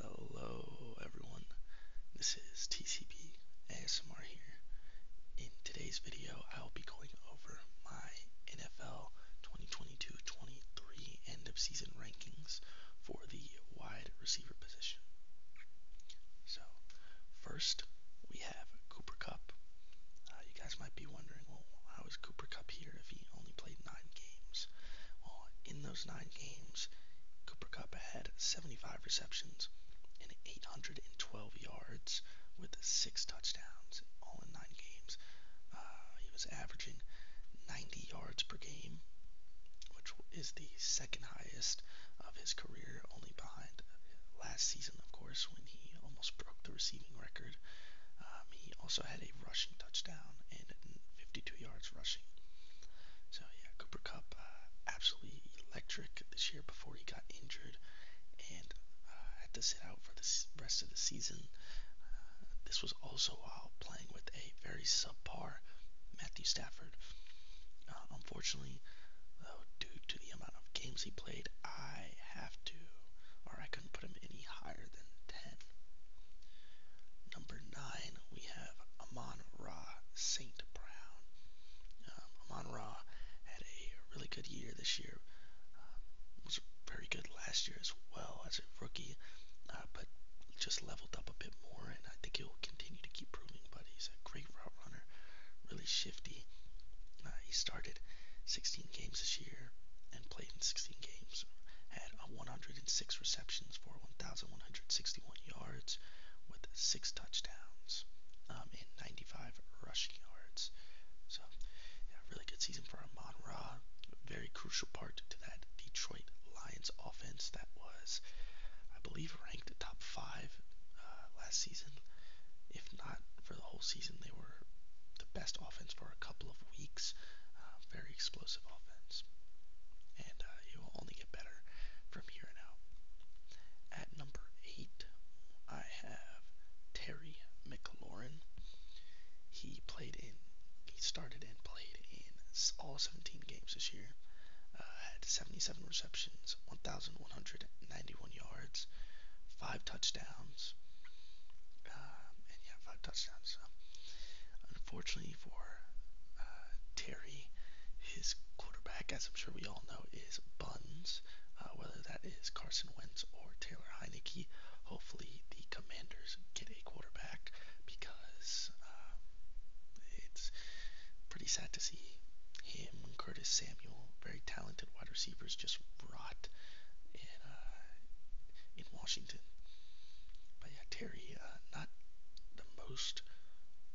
Hello everyone, this is TCB ASMR here. In today's video, I will be going over my NFL 2022-23 end of season rankings for the wide receiver position. So, first we have Cooper Cup. Uh, you guys might be wondering, well, how is Cooper Cup here if he only played nine games? games. Well, uh, in those nine games, Cooper Cup had 75 receptions and 812 yards with six touchdowns, all in nine games. Uh, he was averaging 90 yards per game, which is the second highest of his career, only behind last season, of course, when he almost broke the receiving record. Um, he also had a rushing touchdown and 52 yards yards rushing. So yeah, Cooper Cup uh, absolutely electric this year before he got injured and uh, had to sit out for the rest of the season. Uh, this was also while playing with a very subpar Matthew Stafford. Uh, unfortunately, though, due to the amount of games he played, I have to, or I couldn't put him any higher than 10. Number nine, we have Amon Ra St. Brown. Um, Amon Ra had a really good year this year. Um, was very good last year as well as a rookie, uh, but just leveled up a bit more, and I think he'll continue to keep proving. But he's a great route runner, really shifty. Uh, he started 16 games this year and played in 16 games. Had 106 receptions for 1,100 161 yards with six touchdowns um, and 95 rushing yards. So, yeah, really good season for Amon Ra. Very crucial part to that Detroit Lions offense that was, I believe, ranked top five uh, last season. If not for the whole season, they were the best offense for a couple of weeks. Uh, very explosive offense. And uh, uh, will only get better from here on out. At number eight, I have Terry McLaurin. He played in, he started and played in all 17 games this year. Uh, had 77 receptions, 1,191 yards, five touchdowns. Um, and yeah, five touchdowns. So. Unfortunately, opportunity for uh, Terry. His quarterback, as I'm sure we all know, is Buns, uh, whether that is Carson Wentz or Taylor Heineke. Hopefully, the Commanders get a quarterback because um, it's pretty sad to see him, Curtis Samuel, very talented wide receivers, just rot in uh, in Washington. Washington. But yeah, Terry, uh, not the most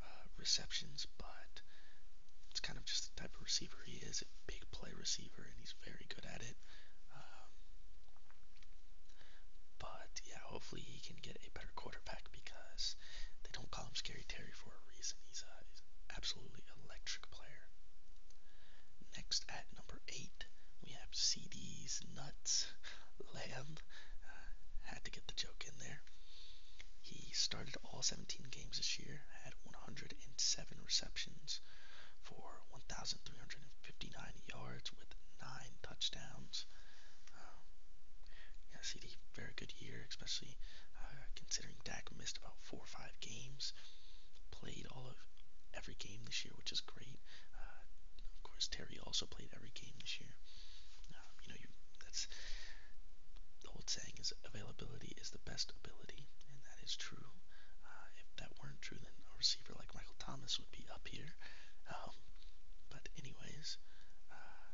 uh, receptions, but it's kind of just the type of receiver he is a big play receiver, and he's very good at it. Um, but yeah, hopefully he can get a better quarterback because they don't call him Scary Terry for a reason. He's, uh, he's an absolutely electric player. Next at number eight, we have CDs, Nuts, Lamb, uh, had to get the joke in there. He started all 17 games this year, had 107 receptions for 1,359 yards with nine touchdowns. Uh, yeah, CD, very good year, especially uh, considering Dak missed about four or five games. Played all of every game this year, which is great. Uh, of course, Terry also played every game this year. Um, you know, you, that's the old saying is availability is the best ability, and that is true. Uh, if that weren't true, then a receiver like Michael Thomas would be up here. Um, but anyways, uh,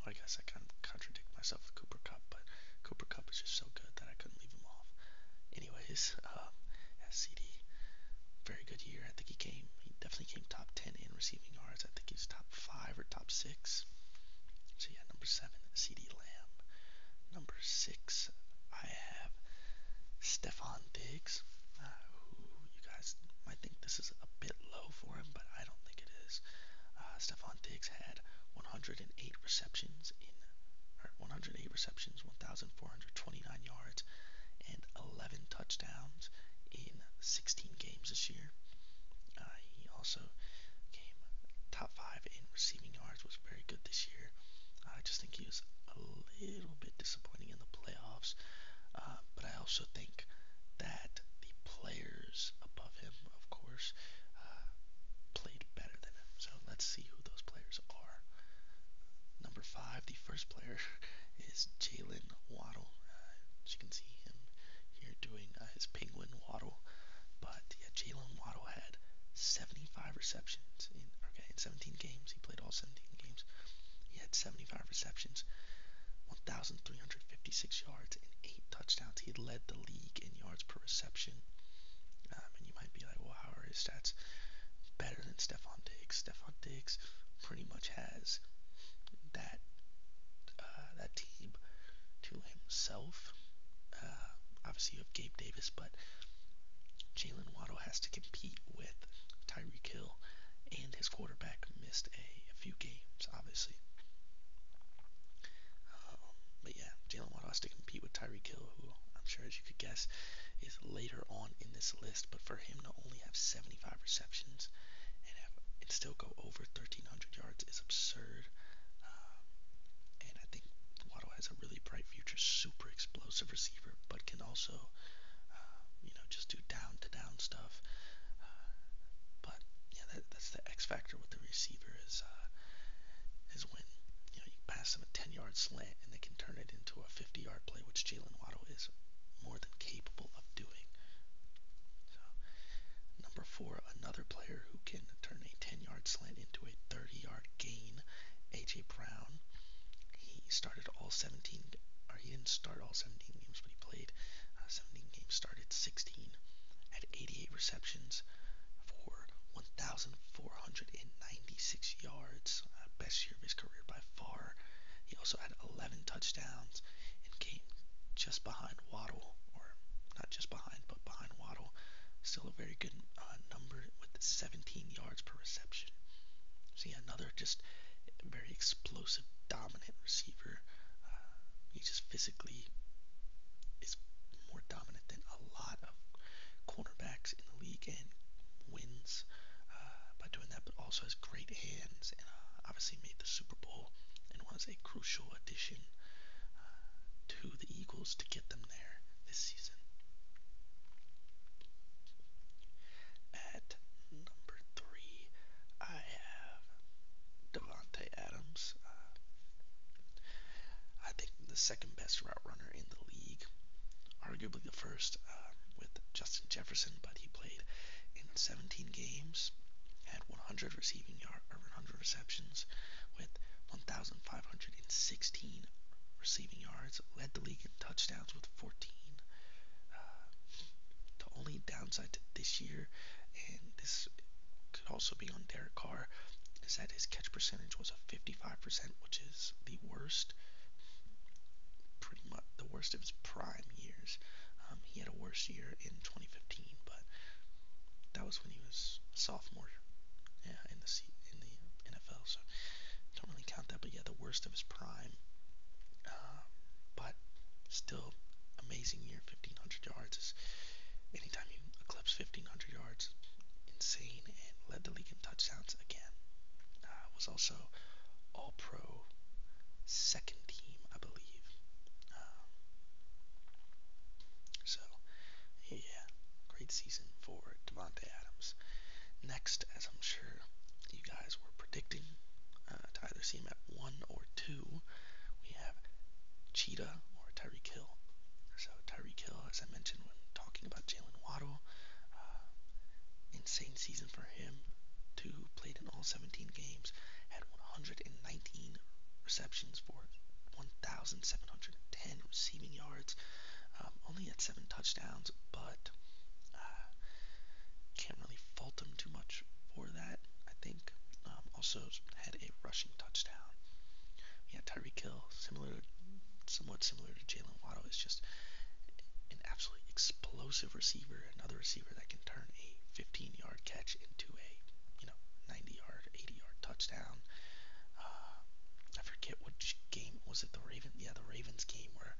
well, I guess I kind of contradict myself with Cooper Cup, but Cooper Cup is just so good that I couldn't leave him off. Anyways, um, as CD very good year. I think he came, he definitely came top 10 in receiving yards. I think he was top 5 or top 6. So yeah, number 7, CD Lamb. Number 6, I have Stefan Diggs, uh, who you guys might think this is a bit low for him, but I don't think it is. Uh, Stefan Diggs had 108 receptions in 108 receptions, 1,429 yards, and 11 touchdowns in 16 games this year. Uh, he also came top five in receiving yards, was very good this year. I just think he was a little bit disappointing in the playoffs, uh, but I also think that the players above him, of course, uh, played better than him. So let's see who those players are. Number five. The first player is Jalen Waddle. Uh, as you can see him here doing uh, his penguin waddle. But yeah, Jalen Waddle had 75 receptions in okay in 17 games. He played all 17 games. He had 75 receptions, 1,356 yards, and eight touchdowns. He led the league in yards per reception. Um, and you might be like, well, how are his stats better than Stephon Diggs? Stephon Diggs pretty much has that uh, that team to himself. Uh, obviously, you have Gabe Davis, but Jalen Waddle has to compete with Tyreek Hill, and his quarterback missed a, a few games, obviously. Um, but yeah, Jalen Waddle has to compete with Tyreek Hill, who I'm sure, as you could guess, is later on in this list. But for him him to only have 75 receptions and, have, and still go over 1,300 yards is absurd. Um, and I think Waddle has a really bright future, super explosive receiver, but can also, uh, you know, just do down to down stuff. Uh, but yeah, that, that's the X factor with the receiver is uh, is when you know you pass them a 10 yard slant and they can turn it into a 50 yard play, which Jalen Waddle is more than capable of doing. So, number four, another player who can turn a 10 yard slant into a 30 yard gain, A.J. Brown. He started all 17, or he didn't start all 17 games, but he played uh, 17 games, started 16, had 88 receptions for 1,496 yards, uh, best last year of his career by far. He also had 11 touchdowns and came just behind Waddle, or not just behind, but behind Waddle. Still a very good uh, number with 17 yards per reception. See, another just very explosive, dominant receiver. Uh, he just physically is more dominant than a lot of cornerbacks in the league and wins uh, by doing that, but also has great hands and uh, obviously made the Super Bowl and was a crucial addition uh, to the Eagles to get them there this season. At number three, I have Devontae Adams. Uh, I think the second best route runner in the league, arguably basically the first um, with Justin Jefferson, but he played in 17 games, had 100 receiving yard or 100 receptions with 1,516 receiving yards, led the league in touchdowns with 14. Uh, the only downside to this year, and this could also be on Derek Carr, is that his catch percentage was a 55%, which is the worst pretty much the worst of his prime years. Um, he had a worse year in 2015, but that was when he was a sophomore yeah, in the C in the NFL. So don't really count that. But yeah, the worst of his prime, uh, but still amazing year. 1500 yards is anytime you eclipse 1500 yards, insane, and led the league in touchdowns again. Uh, was also All Pro second team, I believe. Um, so, yeah, great season for Devonte Adams. Next, as I'm sure you guys were predicting, uh, Tyler Seam at one or two. We have Cheetah or Tyreek Hill. So Tyreek Hill, as I mentioned when talking about Jalen Waddle, uh, insane season for him, To Played in all 17 games, had 119 receptions for 1,710 receiving yards. Um, only had seven touchdowns, but uh, can't really fault him too much for that. I think um, also had a rushing touchdown. Yeah, Tyreek Hill, similar, somewhat similar to Jalen Waddle, is just an absolutely explosive receiver receiver, another receiver that can turn a 15-yard catch into a, you know, 90-yard, 80-yard touchdown. Uh, I forget which game was it. The Ravens, yeah, the Ravens game where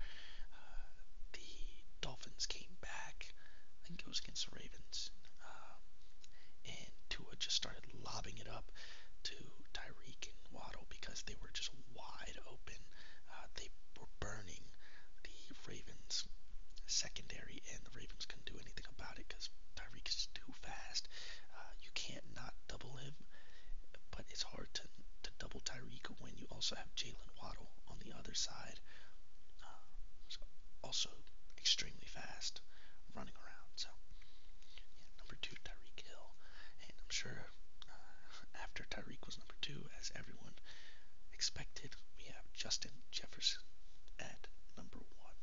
uh, the Dolphins came back. I think it was against the Ravens, uh, and Tua just started lobbing it up to Tyreek and Waddle because they were just wide wide open. Uh, they were burning the Ravens secondary, and the Ravens couldn't do anything about it because Tyreek is too fast. Uh, you can't not double him, but it's hard to, double Tyreek when you also have Jalen Waddle on the other side. Uh, also extremely fast running around. So, number two, Tyreek Hill. And I'm sure after Tyreek was number two, as everyone expected, we have Justin Jefferson at number one.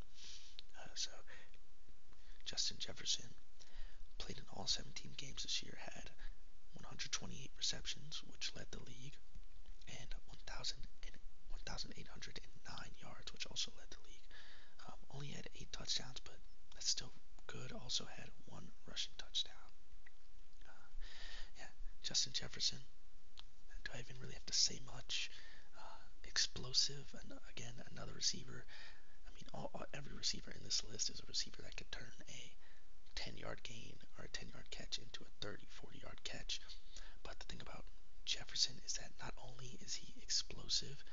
Uh, so, Justin Jefferson played in all 17 games this year, had 128 receptions, which led the league, and 1,809 yards, which also led the league. Um, only had eight touchdowns, but that's still good. Also had one rushing touchdown. Uh, yeah, Justin Jefferson. Do I even really have to say much? Uh, explosive, and again, another receiver. I mean, all, all, every receiver in this list is a receiver that could turn a 10 yard gain or a 10 yard catch into a 30, 40 yard catch. But the thing about Jefferson is that not only is he explosive,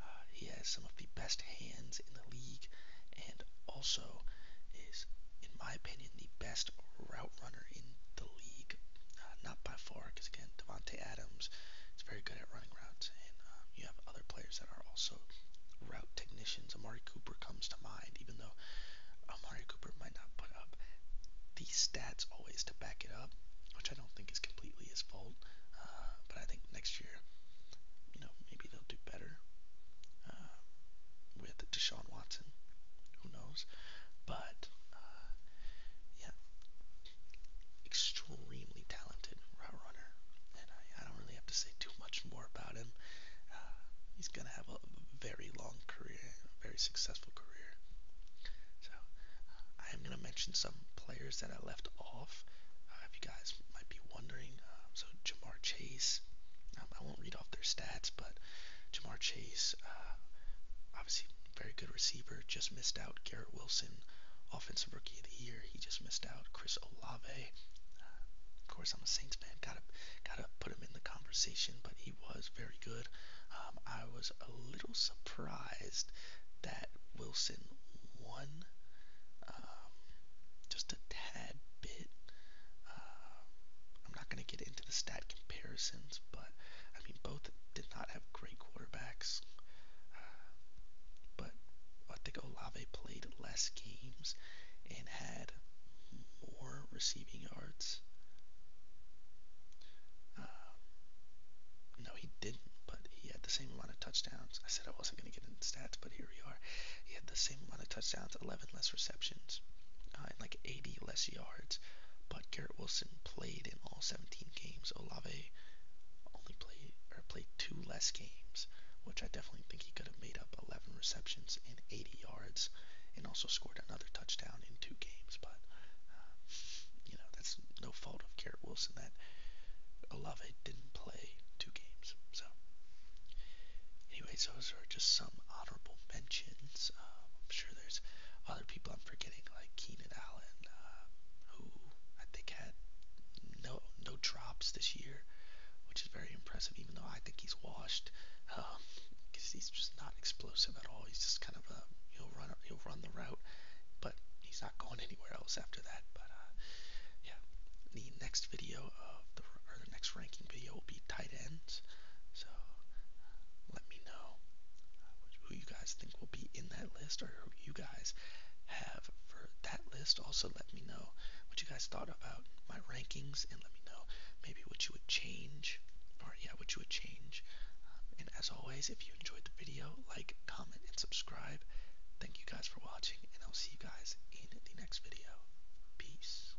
uh, he has some of the best hands in the league and also is in my opinion, the best route runner in the league. Uh, not by far, because again, Devonte Adams is very good at running routes, and um, you have other players that are also route technicians. Amari Cooper comes to mind, even though Amari Cooper might not put up the stats always to back it up, which I don't think is completely his fault. Uh, but I think next year, you know, maybe they'll do better. Uh, with Deshaun Watson. Who knows? But, uh, yeah, extremely talented route runner. And I, I don't really have to say too much more about him. Uh, he's going to have a very long career, a very successful career. So, uh, I am going to mention some players that I left off. Uh, if you guys might be wondering, uh, so Jamar Chase. Um, I I won't read off their stats, but Jamar Chase, uh, obviously very good receiver, just missed out. Garrett Wilson, offensive rookie of the year, he just missed out. Chris Olave, uh, of course I'm a Saints fan, gotta gotta put him in the conversation, but he was very good. Um, I was a little surprised that Wilson won, um, just a tad bit. Uh, I'm not gonna to get into the stat comparisons, but I mean, both did not have great quarterbacks. Uh, but I think Olave played less games and had more receiving yards. Um, no, he didn't, but he had the same amount of touchdowns. I said I wasn't going to get into stats, but here we are. He had the same amount of touchdowns, 11 less receptions, uh, and like 80 less yards. But Garrett Wilson played in all 17 games. Olave only played or played two less games, which I definitely think he could have made up 11 receptions and 80 yards, and also scored another touchdown in two games. But uh, you know that's no fault of Garrett Wilson that Olave didn't play two games. So Anyways, those are just some honorable mentions. Um, I'm sure there's other people I'm forgetting, like Keenan Allen, uh, who I think had no no drops this year, which is very impressive. Even though I think he's washed, because um, he's just not explosive at all. He's just kind of a he'll run he'll run the route, but he's not going anywhere else after that. But uh, yeah, the next video of the or the next ranking video will be tight ends. So let me know uh, who you guys think will be in that list or who you guys have for that list. Also, let me know what you guys thought about my rankings and let me know maybe what you would change or, yeah, what you would change. Um, and as always, if you enjoyed the video, like, comment, and subscribe. Thank you guys for watching, and I'll see you guys in the next video. Peace.